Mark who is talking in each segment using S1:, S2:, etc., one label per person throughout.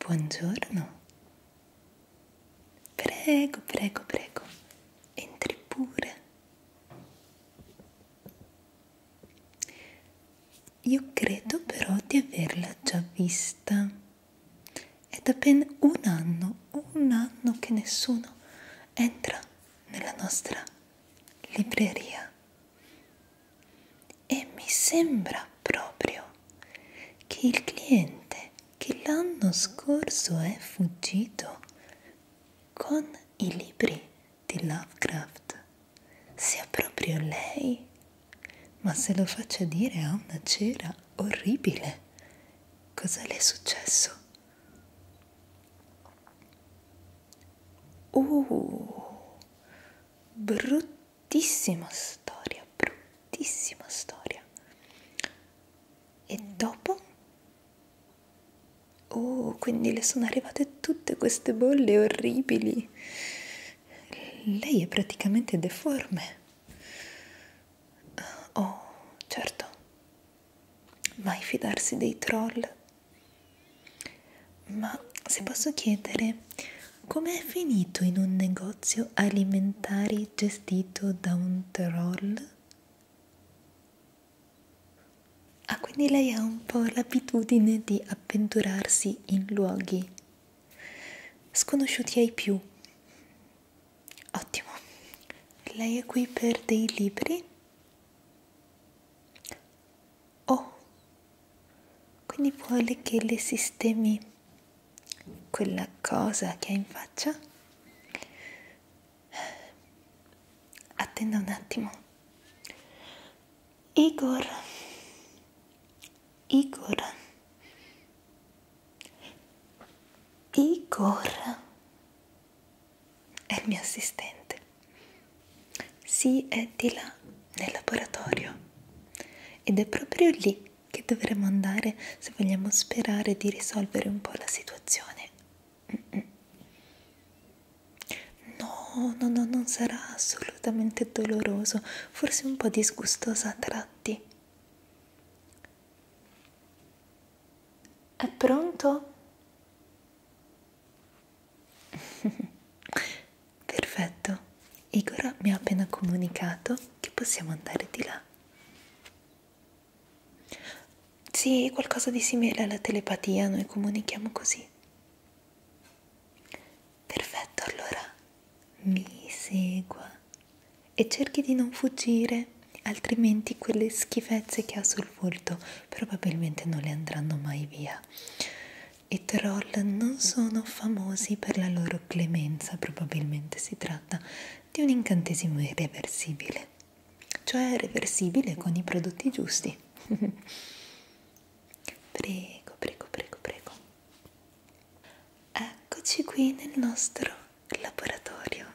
S1: Buongiorno. Prego, prego, prego. Entri pure. Io credo però di averla già vista. È da ben un anno, un anno che nessuno entra nella nostra libreria e mi sembra proprio che il cliente che l'anno scorso è fuggito con i libri di Lovecraft sia proprio lei, ma se lo faccio dire ha una cera orribile. Cosa le è successo? Uh, brutto bruttissima storia, bruttissima storia. E dopo? Oh, quindi le sono arrivate tutte queste bolle orribili. Lei è praticamente deforme. Oh, certo. Mai fidarsi dei troll. Ma se posso chiedere, com'è finito in un negozio alimentari gestito da un troll? Ah, quindi lei ha un po' l'abitudine di avventurarsi in luoghi sconosciuti ai più. Ottimo. Lei è qui per dei libri? O. Oh, quindi vuole che le sistemi quella cosa che ha in faccia. Attenda un attimo. Igor. Igor. Igor è il mio assistente. Sì, è di là, nel laboratorio. Ed è proprio lì che dovremmo andare se vogliamo sperare di risolvere un po' la situazione. Mm-mm. No, no, no, non sarà assolutamente doloroso, forse un po' disgustosa a tratti. È pronto? Perfetto, Igor mi ha appena comunicato che possiamo andare di là. Sì, qualcosa di simile alla telepatia, noi comunichiamo così. Perfetto, allora mi segua e cerchi di non fuggire, altrimenti quelle schifezze che ha sul volto probabilmente non le andranno mai via e troll non sono famosi per la loro clemenza, probabilmente si tratta di un incantesimo irreversibile, cioè reversibile con i prodotti giusti. prego, prego, prego, prego. Eccoci qui nel nostro laboratorio.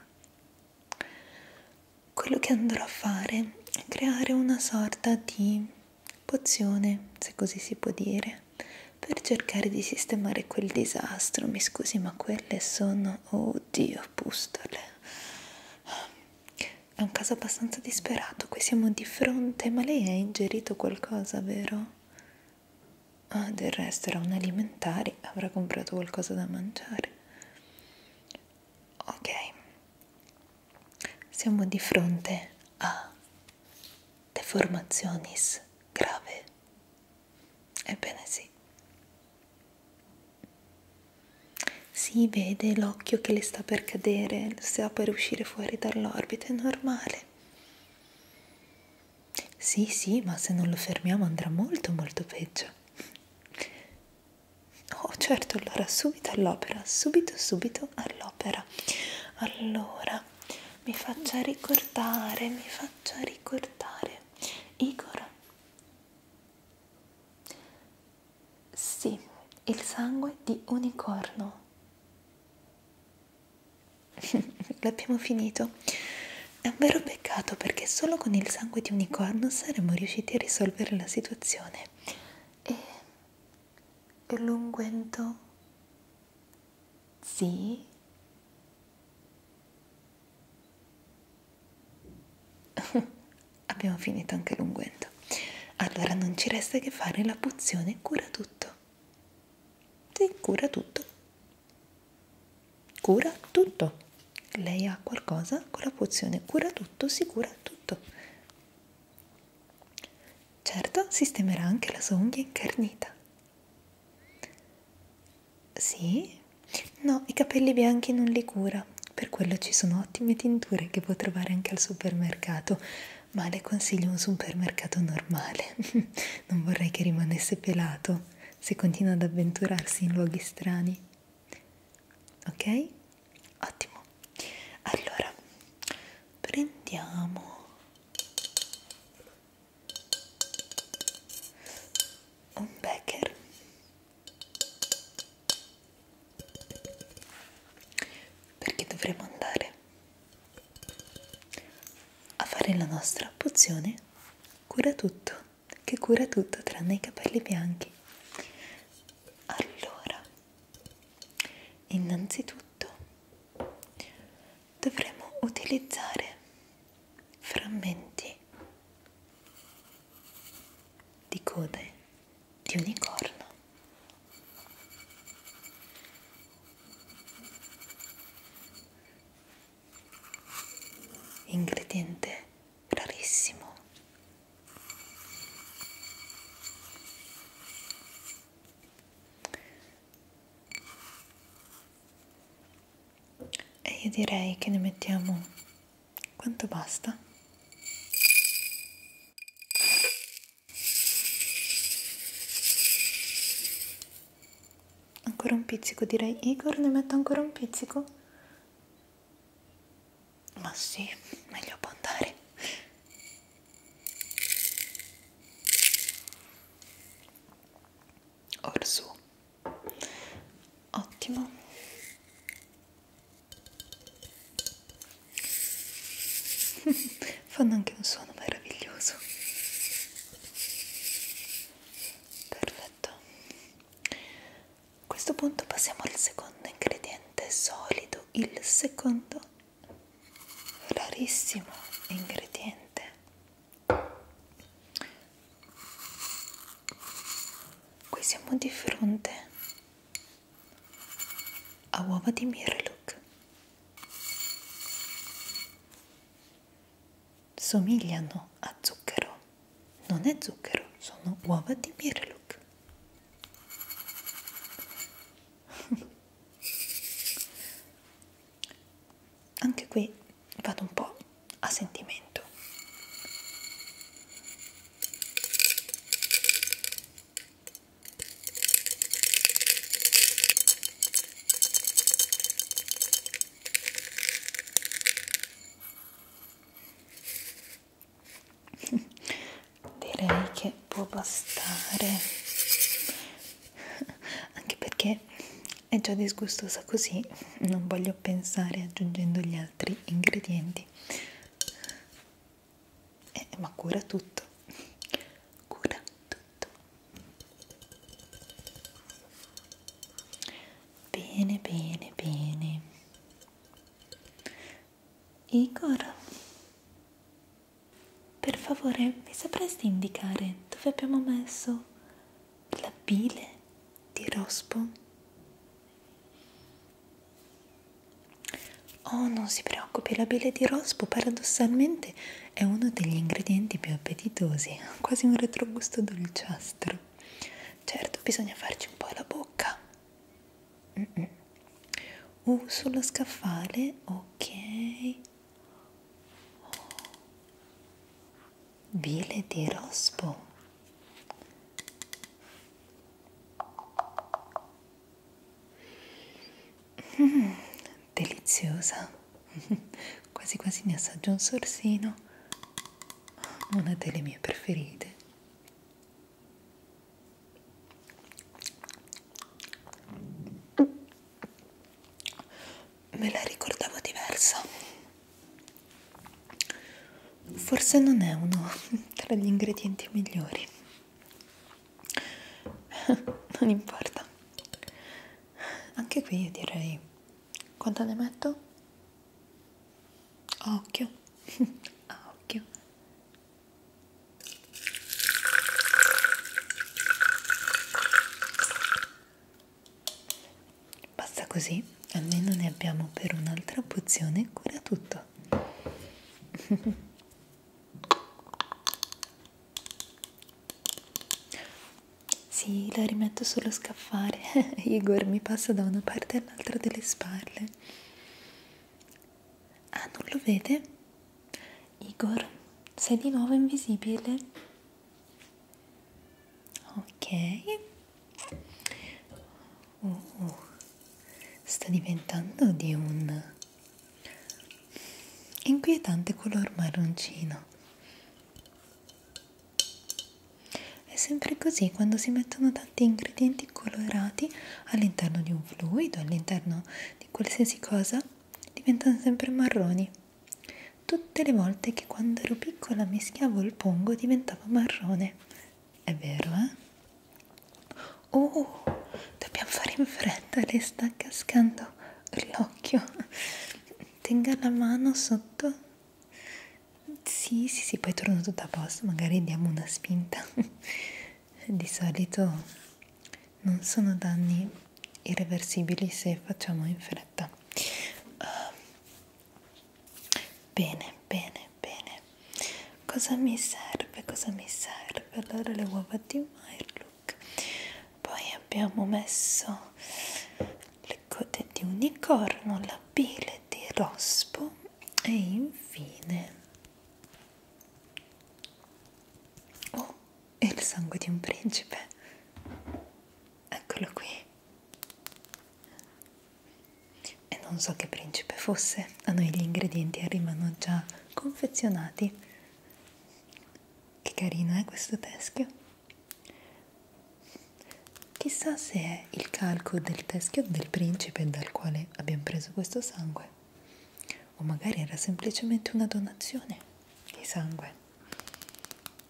S1: Quello che andrò a fare è creare una sorta di pozione, se così si può dire, per cercare di sistemare quel disastro. Mi scusi, ma quelle sono, oddio, oh pustole. È un caso abbastanza disperato, qui siamo di fronte, ma lei ha ingerito qualcosa, vero? Ah, del resto era un alimentare, avrà comprato qualcosa da mangiare. Ok, siamo di fronte a deformazioni grave. Ebbene sì. Si vede l'occhio che le sta per cadere, sta per uscire fuori dall'orbita, è normale. Sì, sì, ma se non lo fermiamo andrà molto, molto peggio. Oh, certo, allora subito all'opera, subito, subito all'opera all'opera allora mi faccia ricordare mi faccia ricordare Igor sì il sangue di unicorno l'abbiamo finito è un vero peccato perché solo con il sangue di unicorno saremmo riusciti a risolvere la situazione e l'unguento sì abbiamo finito anche l'unguento allora non ci resta che fare la pozione cura tutto sì, cura tutto cura tutto lei ha qualcosa con la pozione cura tutto si cura tutto Certo, sistemerà anche la sua unghia incarnita. Sì? No, i capelli bianchi non li cura, per quello ci sono ottime tinture che può trovare anche al supermercato, ma le consiglio un supermercato normale. non vorrei che rimanesse pelato se continua ad avventurarsi in luoghi strani. Ok? Ottimo. Allora, prendiamo un becker perché dovremo andare a fare la nostra pozione cura tutto che cura tutto tranne i capelli bianchi allora innanzitutto dovremo utilizzare frammenti di code di unicorno. Ingrediente rarissimo e io direi che ne mettiamo quanto basta ancora un pizzico direi Igor ne metto ancora un pizzico ma sì meglio può andare Orsù. Ottimo. Fanno anche un suono meraviglioso. Perfetto. A questo punto passiamo al secondo ingrediente solido, il secondo rarissimo ingrediente qui siamo di fronte a uova di mirlook somigliano a zucchero non è zucchero sono uova di mirlook Anche qui vado un po' a sentimento direi che può bastare anche perché è già disgustosa così non voglio pensare aggiungendo gli altri ingredienti eh, ma cura tutto cura tutto bene bene bene Igor per favore, mi sapresti indicare dove abbiamo messo la bile di rospo? Oh, non si preoccupi, la bile di rospo paradossalmente è uno degli ingredienti più appetitosi, ha quasi un retrogusto dolciastro. Certo, bisogna farci un po' la bocca. Mm -mm. Uh, sullo scaffale, ok. Vile di rospo. Mm, deliziosa. quasi quasi ne assaggio un sorsino. Una delle mie preferite. Me la ricordavo diversa. Forse non è uno tra gli ingredienti migliori. Non importa. Anche qui io direi quanto ne metto? A occhio, a occhio, Basta così, almeno ne abbiamo per un'altra pozione cura tutto. sì, la rimetto sullo scaffale. Igor mi passa da una parte all'altra delle spalle. Ah, non lo vede? Igor, sei di nuovo invisibile? Ok. Uh, uh, sta diventando di un inquietante color marroncino. È sempre così quando si mettono tanti ingredienti colorati all'interno di un fluido, all'interno di qualsiasi cosa diventano sempre marroni. Tutte le volte che quando ero piccola mischiavo il pongo diventava marrone. È vero, eh? Oh, dobbiamo fare in fretta, le sta cascando l'occhio. Tenga la mano sotto. Sì, sì, sì, poi torno tutto a posto, magari diamo una spinta di solito non sono danni irreversibili se facciamo in fretta uh, bene bene bene cosa mi serve cosa mi serve allora le uova di Mirlook poi abbiamo messo le code di unicorno la pile di rospo e infine Oh, è il sangue di un principe. Eccolo qui. E non so che principe fosse, a noi gli ingredienti arrivano già confezionati. Che carino è eh, questo teschio. Chissà se è il calco del teschio del principe dal quale abbiamo preso questo sangue o magari era semplicemente una donazione di sangue.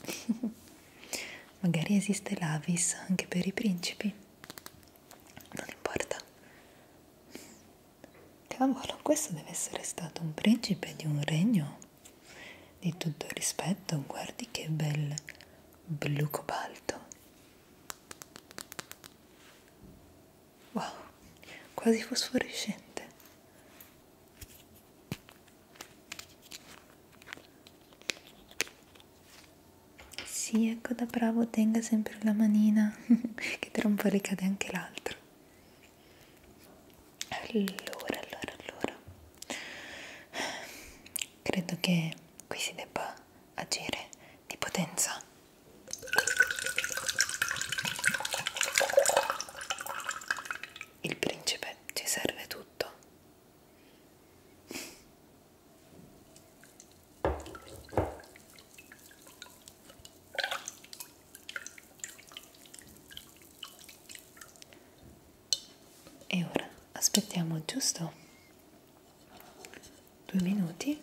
S1: magari esiste l'Avis anche per i principi. Non importa. Cavolo, questo deve essere stato un principe di un regno di tutto rispetto. Guardi che bel blu cobalto. Wow, quasi fosforescente. Sì, ecco da bravo, tenga sempre la manina, che tra un po' ricade anche l'altro. Allora, allora, allora. Credo che qui si debba agire di potenza. Il principe ci serve tutto. E ora aspettiamo giusto due minuti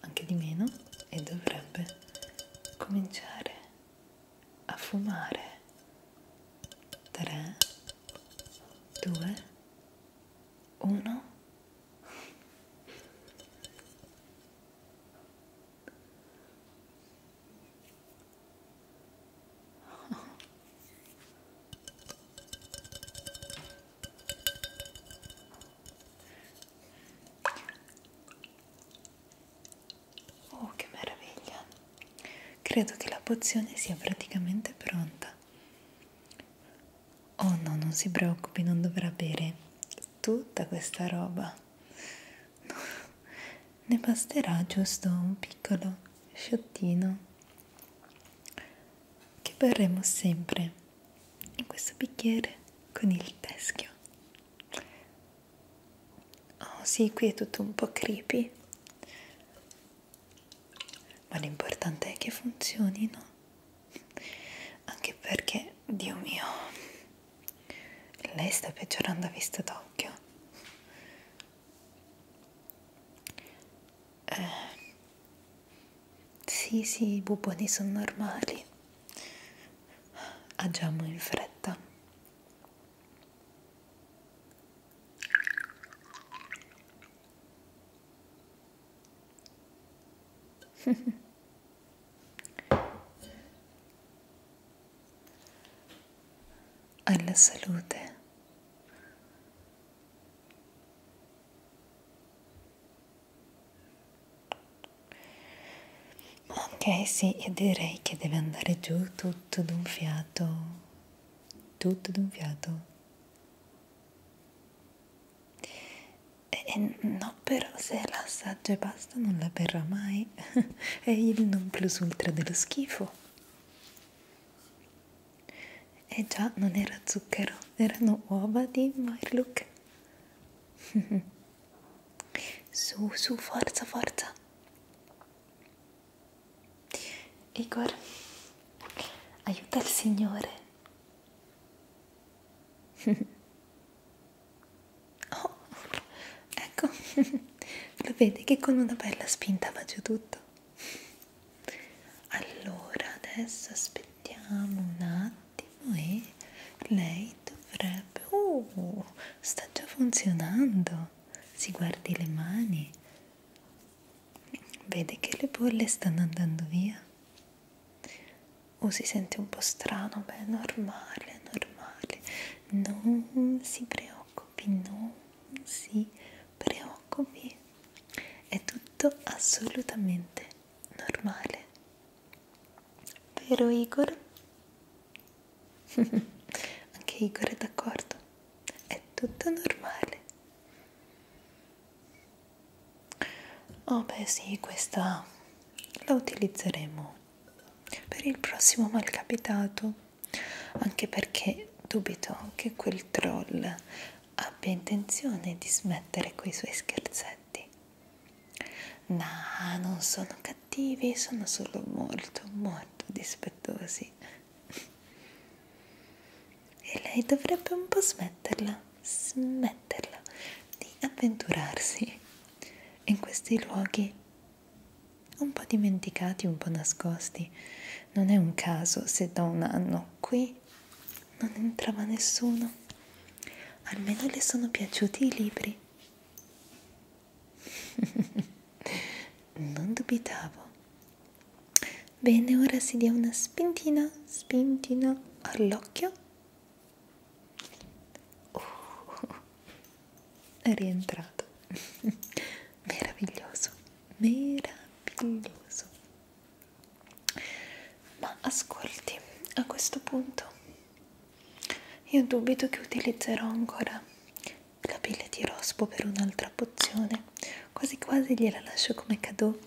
S1: anche di meno e dovrebbe cominciare a fumare 3 2 1 Oh. Oh, che meraviglia! Credo che la pozione sia praticamente pronta. Oh no, non si preoccupi, non dovrà bere tutta questa roba. ne basterà giusto un piccolo sciottino che berremo sempre in questo bicchiere con il teschio. Oh sì, qui è tutto un po' creepy, ma l'importante è che funzioni, no? Anche perché, Dio mio, lei sta peggiorando a vista d'occhio. Eh, sì, sì, i buboni sono normali. Agiamo in fretta. Alla salute. Ok, sì, e direi che deve andare giù tutto d'un fiato, tutto d'un fiato. E, e no, però se la assaggia e basta non la berrà mai, è il non plus ultra dello schifo. E già non era zucchero, erano uova di Marlook. su, su, forza, forza. Igor, aiuta il Signore. oh, ecco, lo vedi che con una bella spinta va giù tutto. Allora, adesso aspettiamo un attimo attimo e lei dovrebbe... Uh, sta già funzionando! Si guardi le mani, vede che le bolle stanno andando via. O oh, si sente un po' strano, beh, normale, normale. Non si preoccupi, non si preoccupi. È tutto assolutamente normale. Vero Igor? Anche Igor è d'accordo. È tutto normale. Oh beh sì, questa la utilizzeremo per il prossimo malcapitato, anche perché dubito che quel troll abbia intenzione di smettere quei suoi scherzetti. No, non sono cattivi, sono solo molto, molto dispettosi. E lei dovrebbe un po' smetterla, smetterla di avventurarsi in questi luoghi un po' dimenticati, un po' nascosti. Non è un caso se da un anno qui non entrava nessuno. Almeno le sono piaciuti i libri. non dubitavo. Bene, ora si dia una spintina, spintina all'occhio. Uh, è rientrato. meraviglioso, meraviglioso. Ma ascolti, a questo punto io dubito che utilizzerò ancora la pelle di rospo per un'altra pozione, quasi quasi gliela lascio come cadeau.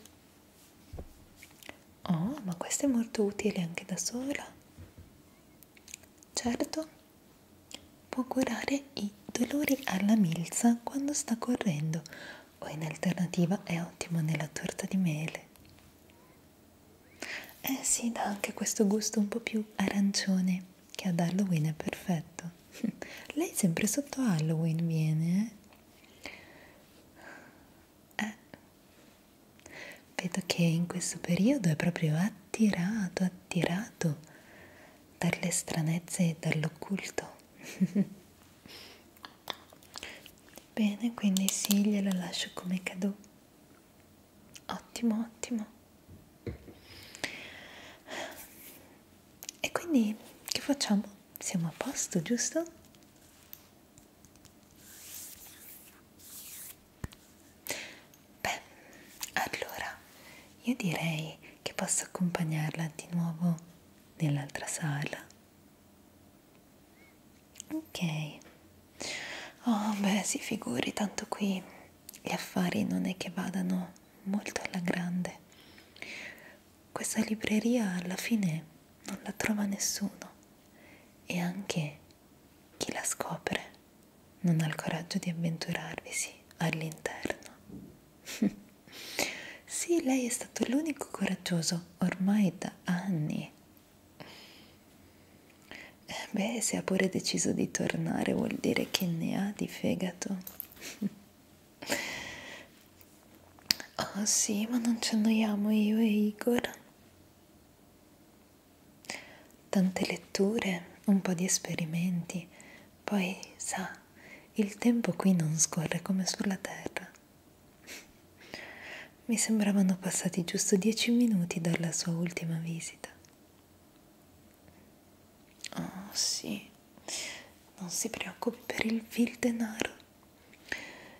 S1: Oh, ma questa è molto utile anche da sola. Certo, può curare i dolori alla milza quando sta correndo o in alternativa è ottimo nella torta di mele. Eh sì, dà anche questo gusto un po' più arancione che ad Halloween è perfetto. Lei sempre sotto Halloween viene, eh? eh? Vedo che in questo periodo è proprio attirato, attirato dalle stranezze e dall'occulto. Bene, quindi sì, glielo lascio come cadeau. Ottimo, ottimo. E quindi che facciamo? Siamo a posto, giusto? Beh, allora io direi che posso accompagnarla di nuovo nell'altra sala Ok. Oh, beh, si figuri, tanto qui gli affari non è che vadano molto alla grande. Questa libreria alla fine non la trova nessuno e anche chi la scopre non ha il coraggio di avventurarvisi all'interno. sì, lei è stato l'unico coraggioso ormai da anni eh, beh, se ha pure deciso di tornare vuol dire che ne ha di fegato. oh sì, ma non ci annoiamo io e Igor. Tante letture, un po' di esperimenti, poi sa, il tempo qui non scorre come sulla terra. Mi sembravano passati giusto dieci minuti dalla sua ultima visita. Oh sì, non si preoccupi per il vil denaro.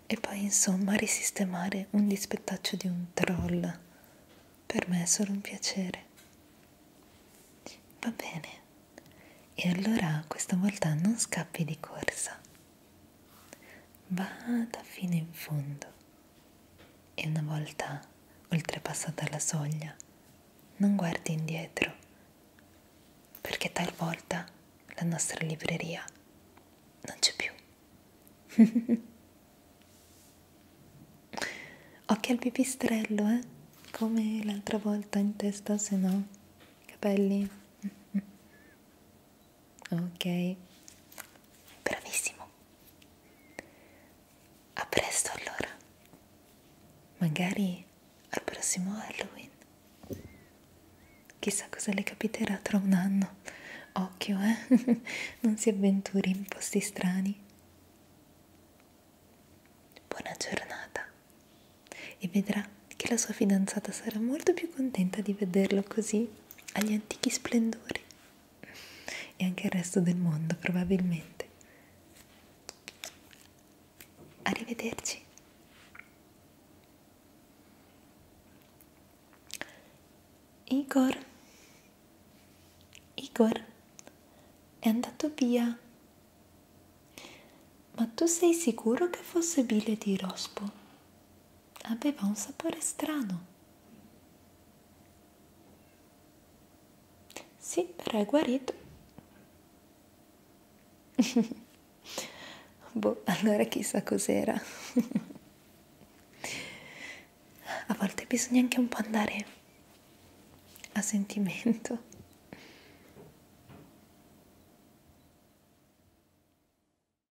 S1: E poi insomma risistemare un dispettaccio di un troll. Per me è solo un piacere. Va bene. E allora questa volta non scappi di corsa. Vada fino in fondo e una volta oltrepassata la soglia non guardi indietro perché talvolta la nostra libreria non c'è più. Occhio al pipistrello, eh? Come l'altra volta in testa, se no, capelli ok? Bravissimo! A presto allora! Magari al prossimo Halloween. Chissà cosa le capiterà tra un anno. Occhio, eh? non si avventuri in posti strani. Buona giornata. E vedrà che la sua fidanzata sarà molto più contenta di vederlo così agli antichi splendori e anche il resto del mondo probabilmente. Arrivederci. Igor, Igor è andato via. Ma tu sei sicuro che fosse Bile di Rospo? aveva un sapore strano. Sì, però è guarito. boh, allora chissà cos'era. a volte bisogna anche un po' andare a sentimento.